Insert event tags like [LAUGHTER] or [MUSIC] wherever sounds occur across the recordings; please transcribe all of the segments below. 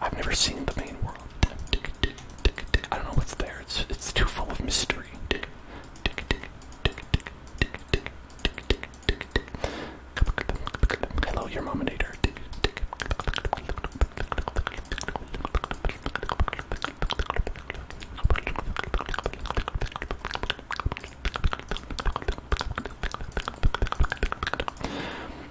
I've never seen the main world. I don't know what's there. It's too full of mystery. Hello, your mominator.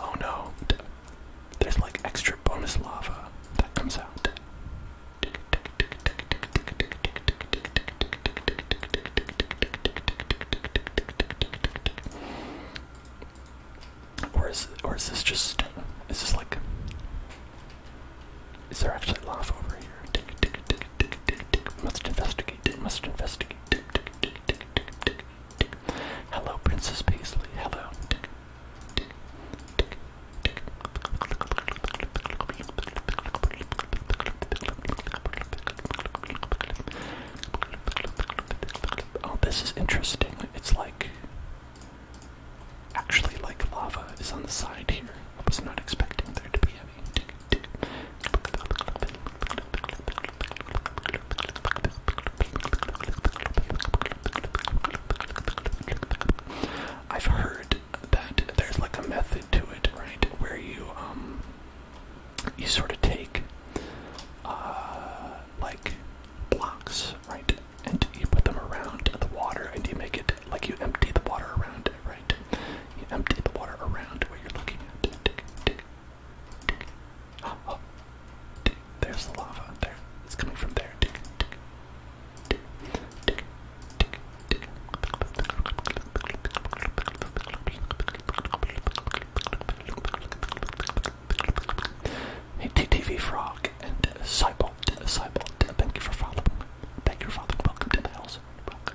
Oh no, there's like extra bonus lava that comes out. Or is or is this just is this like is there actually laugh over here? Tick tick tick tick tick tick must investigate must investigate tick tick tick tick tick tick Hello Princess Paisley hello tick Oh, this is interesting. It's like actually like lava is on the side here. I was not expecting there to be any. I've heard that there's like a method to it, right? Where you um you sort of take uh like blocks, right? And you put them around the water and you make it like you empty the water around it, right? You empty the water around where you're looking at. [GASPS] There's the lava. There. It's coming from there. Tick, tick, Hey, TTV Frog and uh, Cybot, uh, Cybot, uh, thank you for following. Thank you for following. Welcome to the house. Welcome.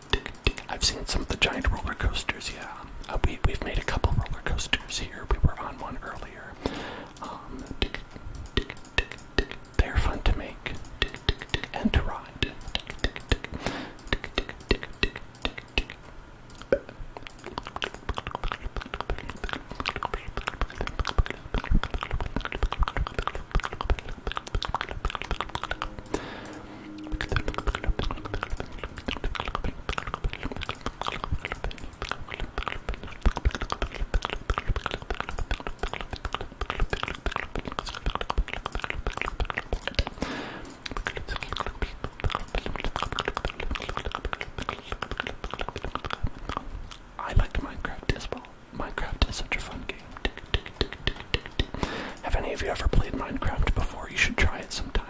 I've seen some of the giant roller coasters, yeah. Uh, we, we've made a couple roller coasters here. We were on one earlier. Um, they're fun to make and to ride. I like Minecraft as well. Minecraft is such a fun game. Have any of you ever played Minecraft before? You should try it sometime.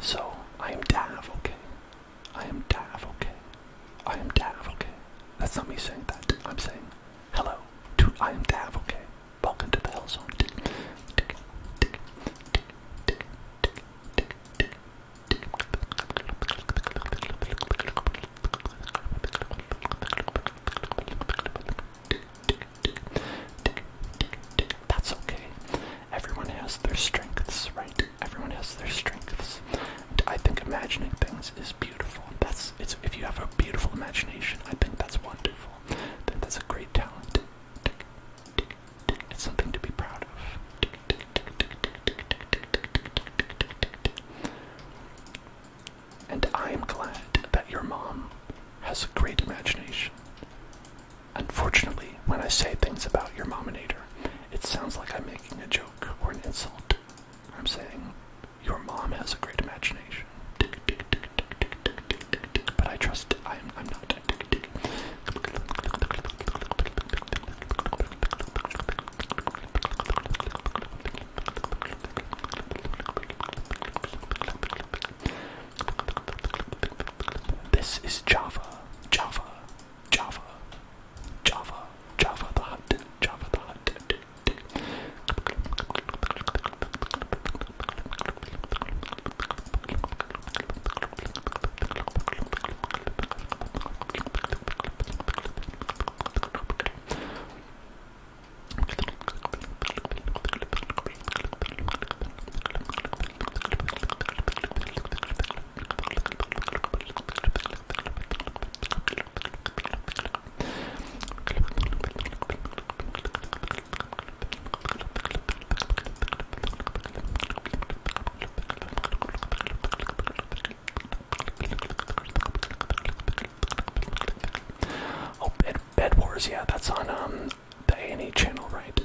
So I am Dav, okay. I am Dav, okay. I am Dav, okay. That's not me saying that. I'm saying hello to I am Dav, okay. Welcome to the Hell Zone. That's okay. Everyone has their strengths, right? Everyone has their strengths. And I think imagining things is beautiful. That's it's if you have a beautiful imagination, I think that's wonderful. that's a great talent. It's something to be proud of. And I am glad that your mom has a great imagination. Unfortunately, when I say things about your mominator, it sounds like I'm making a joke or an insult. I'm saying, your mom has a great imagination. But I trust I'm, I'm not. This is Java, Java, Java, Java, Java the Hutt, Java the Hutt. Oh, bed, bed wars. Yeah, that's on um the a channel, right?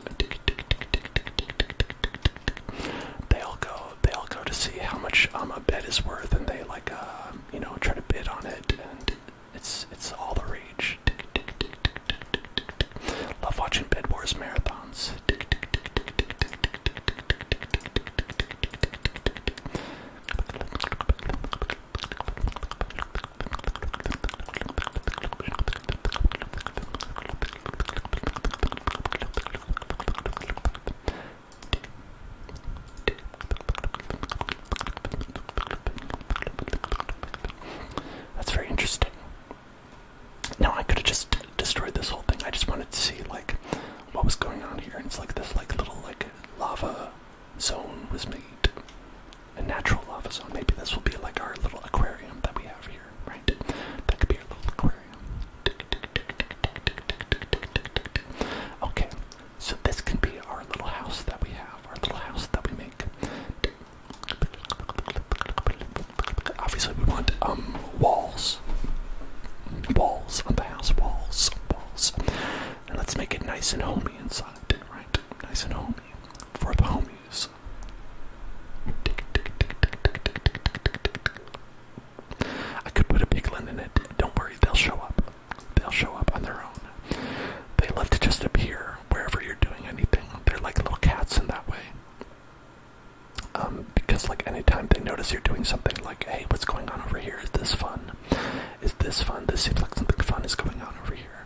They all go. They all go to see how much um, a bed is worth, and they like, uh, you know, try to bid on it, and it's it's all the rage. Love watching bed wars marathons. That's very interesting. Now I could have just destroyed this whole thing. I just wanted to see like what was going on here. And it's like this like little like lava zone was made a natural lava zone. Maybe this will be like our little aquarium that we have here, right? That could be our little aquarium. Okay, so this can be our little house that we have, our little house that we make. Obviously, we want um walls, walls on the house, walls, walls, and let's make it nice and homey inside, right? Nice and homey for the homie please. I could put a piglin in it. Don't worry, they'll show up. They'll show up on their own. They love to just appear wherever you're doing anything. They're like little cats in that way. Um, because like anytime they notice you're doing something like, hey, what's going on over here? Is this fun? Is this fun? This seems like something fun is going on over here.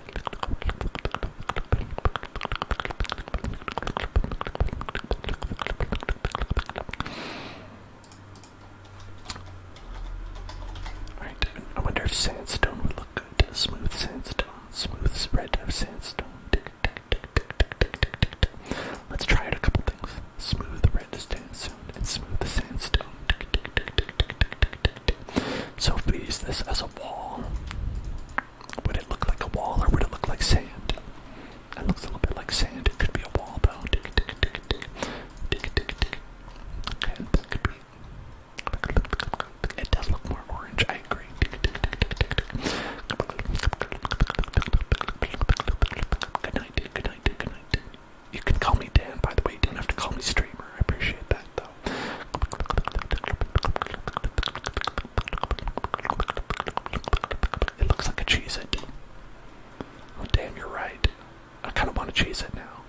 Alright, I wonder if sandstone would look good. Smooth sandstone, smooth spread of sandstone. Tick, tick, tick, tick, tick, tick, tick, tick, tick. Let's try out a couple things. Smooth red sandstone and smooth sandstone. Tick, tick, tick, tick, tick, tick, tick, tick it. So if we use this as a wall, would it look like a wall or would it look like sand? It looks a little bit like sand. It could be a wall though. Tick, tick, tick, tick, tick. Tick, tick, tick. Okay, that could be. It does look more orange. I agree. Tick, tick, tick, tick, tick, tick. Good night, dude. Good night, dude. Good night. You can call me Dan, by the way. You don't have to call me streamer. I appreciate that. It looks like a cheese it. Oh damn, you're right. I kind of want to cheese it now.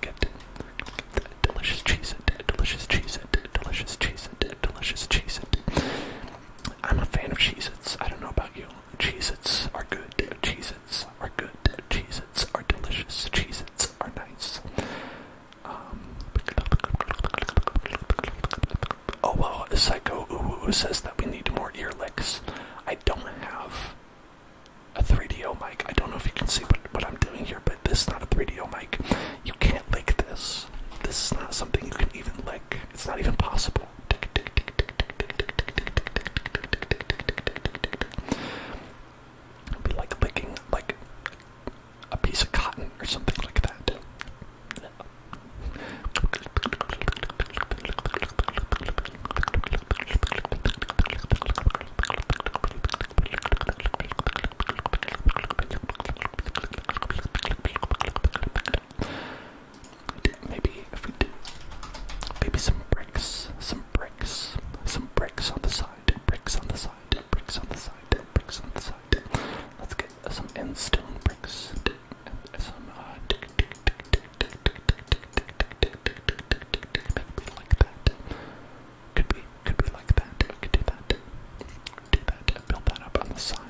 get that delicious cheese it, delicious cheese it, delicious cheese it, delicious cheese it. I'm a fan of cheese its. I don't know about you. Cheez its are good. Cheez its are good. Cheez are delicious. Cheez Its are nice. Um, oh well, Psycho Uwu says that we need more ear licks. I don't have a 3DO mic. I don't know if you can see what, what I'm doing here, but this is not a 3DO mic. You can't lick this. This is not something you can even lick. It's not even possible. It'd be like licking like a piece of cotton or something like that. Maybe maybe some bricks, some bricks, some bricks on the side bricks on the side, bricks on the side, bricks on the side. Let's get some end stone bricks. Some uh tick tick tick like that. Could be could be like that. could do that. Build that up on the side.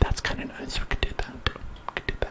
That's kind of nice. We could do that. We could do that.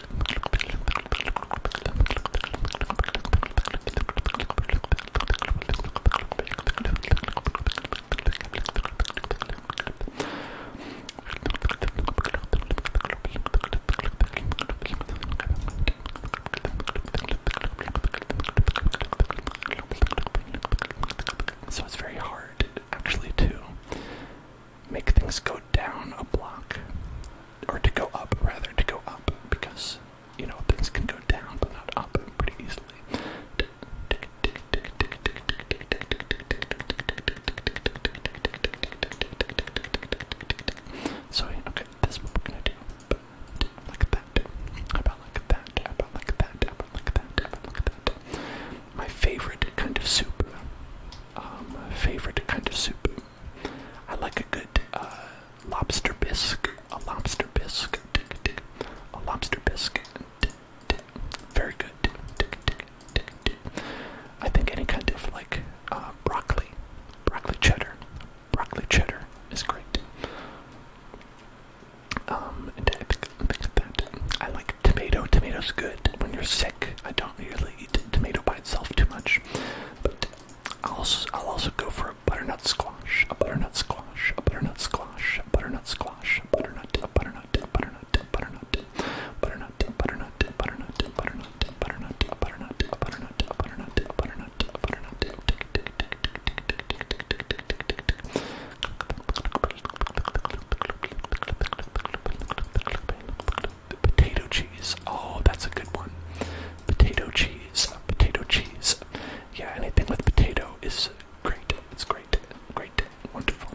So it's very hard actually to make things go down a block or to go up rather, to go up because you know things can go down but not up pretty easily. So okay, this is what that. About like that. About like that. About like that. About like that. My favorite kind of soup. Um, favorite kind of soup. I like a good uh, lobster bisque, a lobster bisque, a lobster bisque. Very good. I think any kind of like uh, broccoli, broccoli cheddar, broccoli cheddar is great. Um, and I think, I think that I like tomato. Tomato's good when you're sick. I don't really eat tomato by itself too much, but I'll also, I'll also go for a butternut squash, a butternut squash, a butternut squash, a butternut squash, a butternut, a butternut, a butternut, a butternut, butternut, butternut, butternut, butternut, butternut, butternut, a butternut, a butternut, a butternut, a butternut, a butternut, tick tick tick tick tick tick tick tick the potato cheese. Oh, that's a good one. Potato cheese, potato cheese. Yeah, anything with potato is great. It's great, great, wonderful.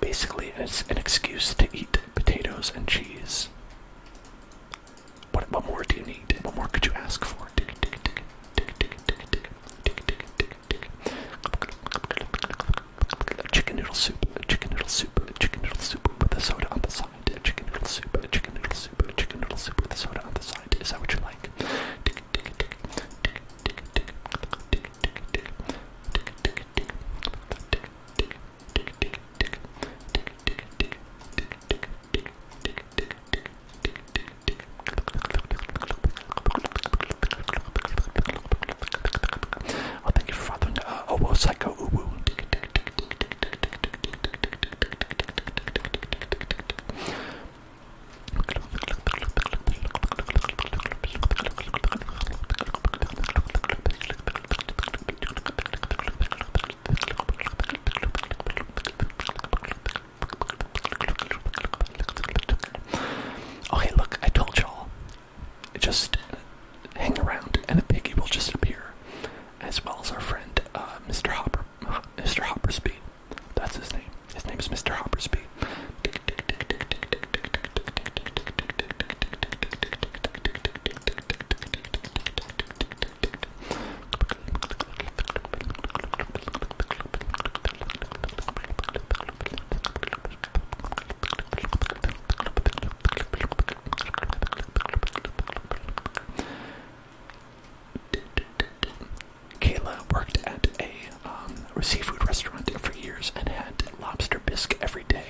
Basically, it's an excuse to eat potatoes and cheese. What, more do you need? What more could you ask for? Chicken noodle soup, chicken noodle soup, chicken noodle soup with the soda on the side. Chicken noodle soup, chicken noodle soup, chicken noodle soup with the soda on the side. Is that what you like? Oh, thank you for following. Uh, oh, well, Psycho Uwu. Okay, look, I told y'all. Just hang around, and a piggy will just appear, as well as our friend, uh, Mr. Hopper, Mr. Hoppersby. That's his name. His name is Mr. Hoppersby. Kayla worked at um, a seafood restaurant for years and had lobster bisque every day.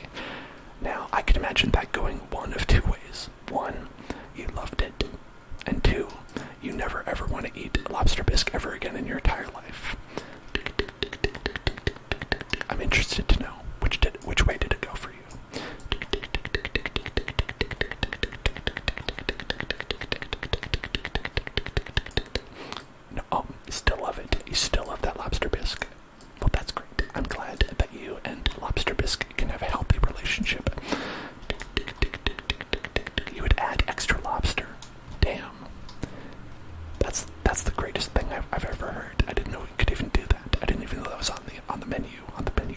Now, I can imagine that going one of two ways. One, you loved it, and two, you never ever want to eat lobster bisque ever again in your entire life. I'm interested to know which did which way did it go for you. No, oh, still love it. You still love that lobster bisque. Well, that's great. I'm glad that you and lobster bisque can have a healthy relationship. You would add extra lobster. Damn. That's that's the greatest thing I've, ever heard. I didn't know you could even do that. I didn't even know that was on the on the menu on the menu.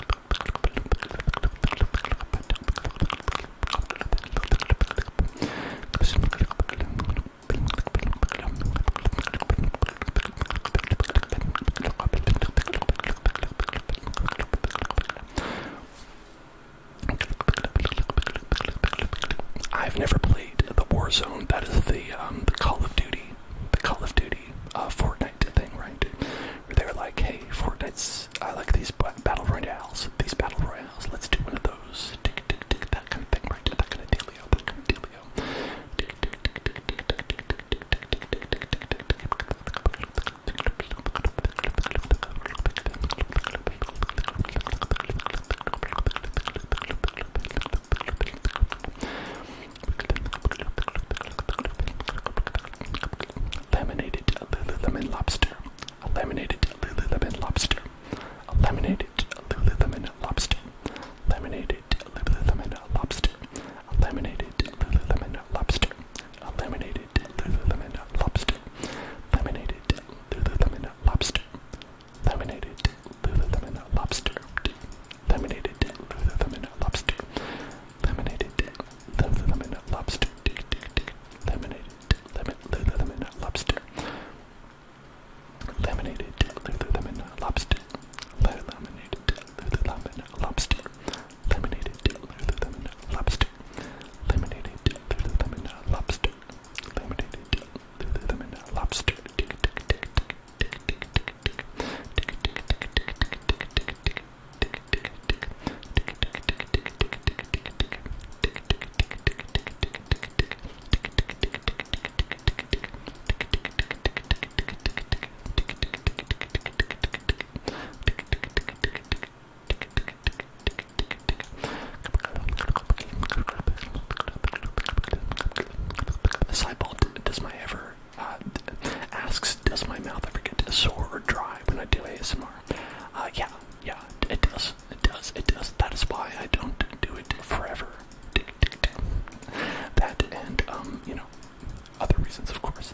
I've never played the Warzone. That is the um, the Call of Duty, the Call of Duty uh, for thing, right? they were like, hey, Fortnite's, I like these battle royales, these battle royales, let's do one of those. that kind of thing, right? Laminated Lululemon lobster. A laminated Lululemon lobster. A laminated Lululemon lobster. Laminated Lululemon lobster. A laminated Lululemon lobster. A laminated Lululemon lobster. Laminated Lululemon lobster. Laminated Lululemon lobster. Laminated Lululemon lobster. Lemonade lemon, lemon, lobster. Lemonade lemon, lemon, lobster. Laminated lemon lobster. Laminated lemon lobster. Laminated lemon lobster. Laminated lemon lobster. Laminated lemon lobster. Tick tick tick tick tick tick tick Cyborg does my ever asks, does my mouth ever get sore or dry when I do ASMR? Uh, yeah, yeah, it does, it does, it does. That is why I don't do it forever. That and, um, you know, other reasons, of course.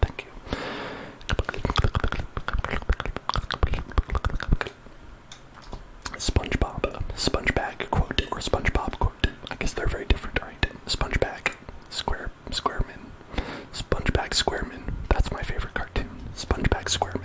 Thank you. SpongeBob, SpongeBag quote or SpongeBob quote. I guess they're very different, right? SpongeBob, Square, Squareman, SpongeBag Squareman. That's my favorite cartoon. SpongeBob Squareman.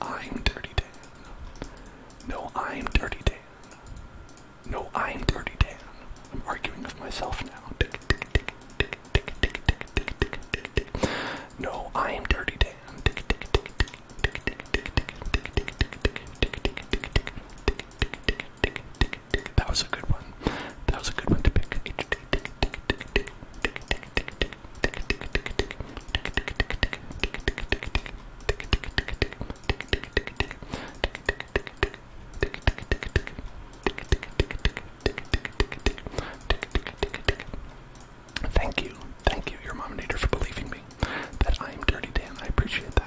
I'm Dirty Dan. No, I'm Dirty Dan. No, I'm Dirty Dan. I'm arguing with myself now. No, I am Dirty Dan. That was a good one. That was a good one Thank you, thank you, your mominator, for believing me that I am Dirty Dan. I appreciate that.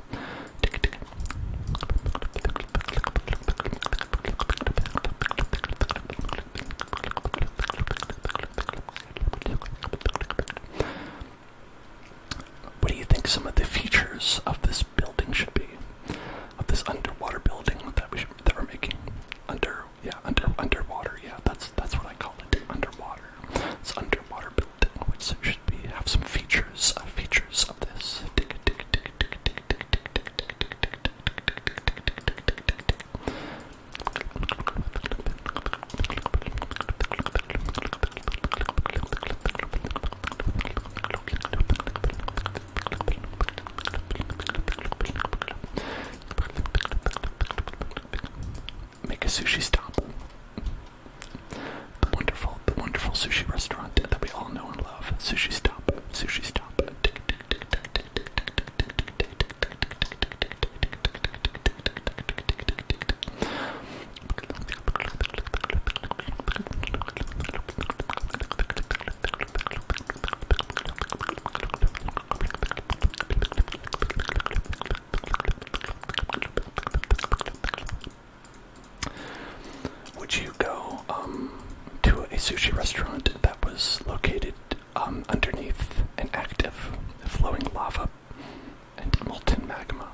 What do you think some of the features of this building should be? Of this underwater building that we that we're making? Under yeah, under underwater, yeah, that's that's what I call it. Underwater. It's underwater building, which should be have some features features of this. Make a sushi stop the wonderful, the wonderful sushi restaurant that we all know and love, Sushi Stop, Sushi Stop. Would you go um, to a sushi restaurant that was located um, underneath an active flowing lava and molten magma?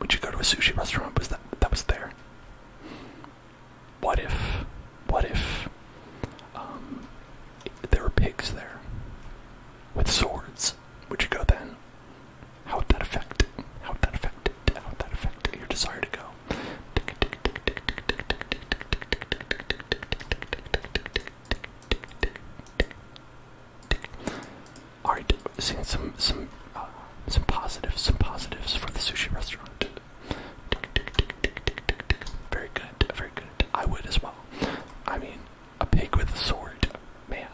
Would you go to a sushi restaurant was that was there? What if, what if um, there were pigs there with swords? Would you go then? How would that affect? How would that affect? How would that affect your desire to go? All right, seeing some some uh, some positives, some positives for the sushi restaurant. Very good, very good. I would as well. I mean, a pig with a sword, man.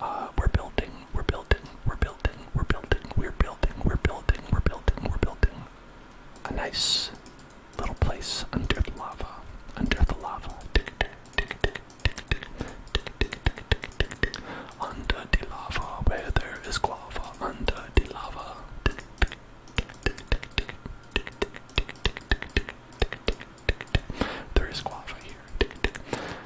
Uh, we're building, we're building, we're building, we're building, we're building, we're building, we're building, we're building. A nice little place under the lava, under the lava, under the lava, where there is guava, under the lava. There is guava here.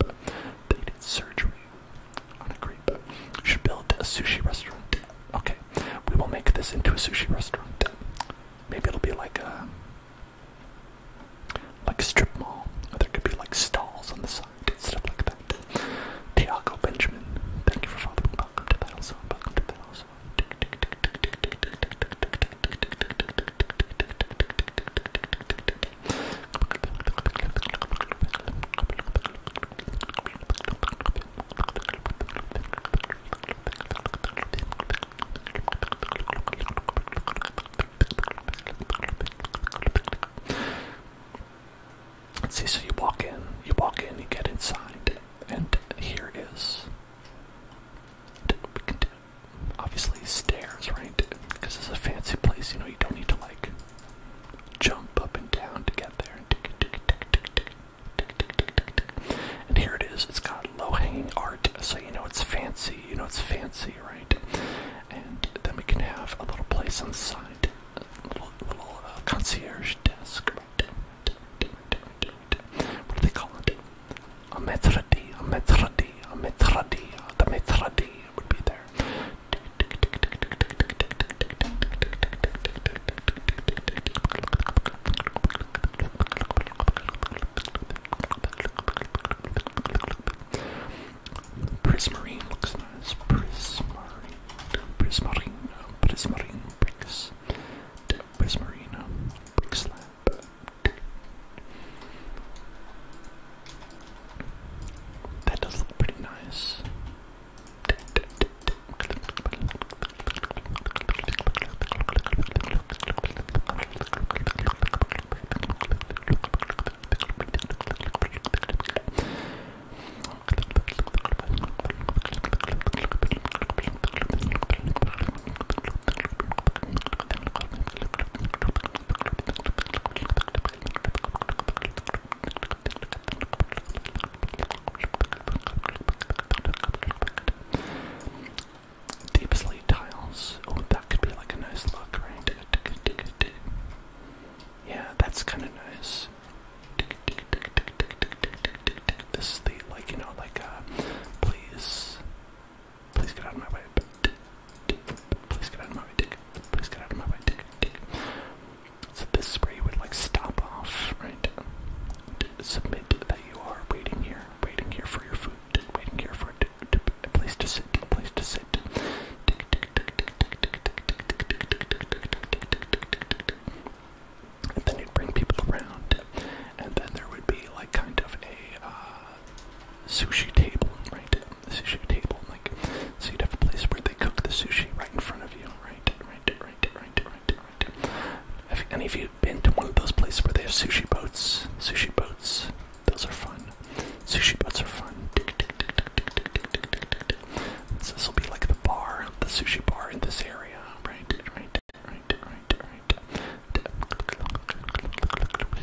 grape. They did surgery on a grape. Should build a sushi restaurant. Okay, we will make this into a sushi restaurant. Maybe it'll be like a like a strip mall. Or there could be like stalls on the side and stuff like that. Tiago Benjamin, thank you for following. Welcome to Battle Zone. Welcome to Battle Zone. Let's see, so you walk in, you walk in, you get inside, and here is. We obviously stairs, right? Because it's a fancy place, you know, you don't need to like jump up and down to get there. And here it is, it's got low hanging art, so you know it's fancy, you know it's fancy, right? And then we can have a little place on the side, a little, little concierge desk, right? What do they call it? a Mithradi, a Mithradi, a Mithradi, the Mithradi would be there. Prismarine looks nice. Prismarine, prismarine, prismarine bricks, prismarine bricks. That does look pretty nice. Deep slate tiles. Oh, that could be like a nice look, right? Yeah, that's kind of nice. This is the like you know like uh, please Please get out of my way. Please get out of my way, Please get out of my way, So this is would like stop off, right? Submit that you are waiting here, waiting here for your food, waiting here for a place to sit, a place to sit. And then you'd bring people around, and then there would be like kind of a sushi table, right? the sushi table, like so you'd have a place where they cook the sushi right in front of you, right, right, right, right, right, right. Have any of you been to one of those places where they have sushi boats? Sushi boats, those are fun. Sushi boats are fun. this will be like the bar, the sushi bar in this area, right, right, right, right, right.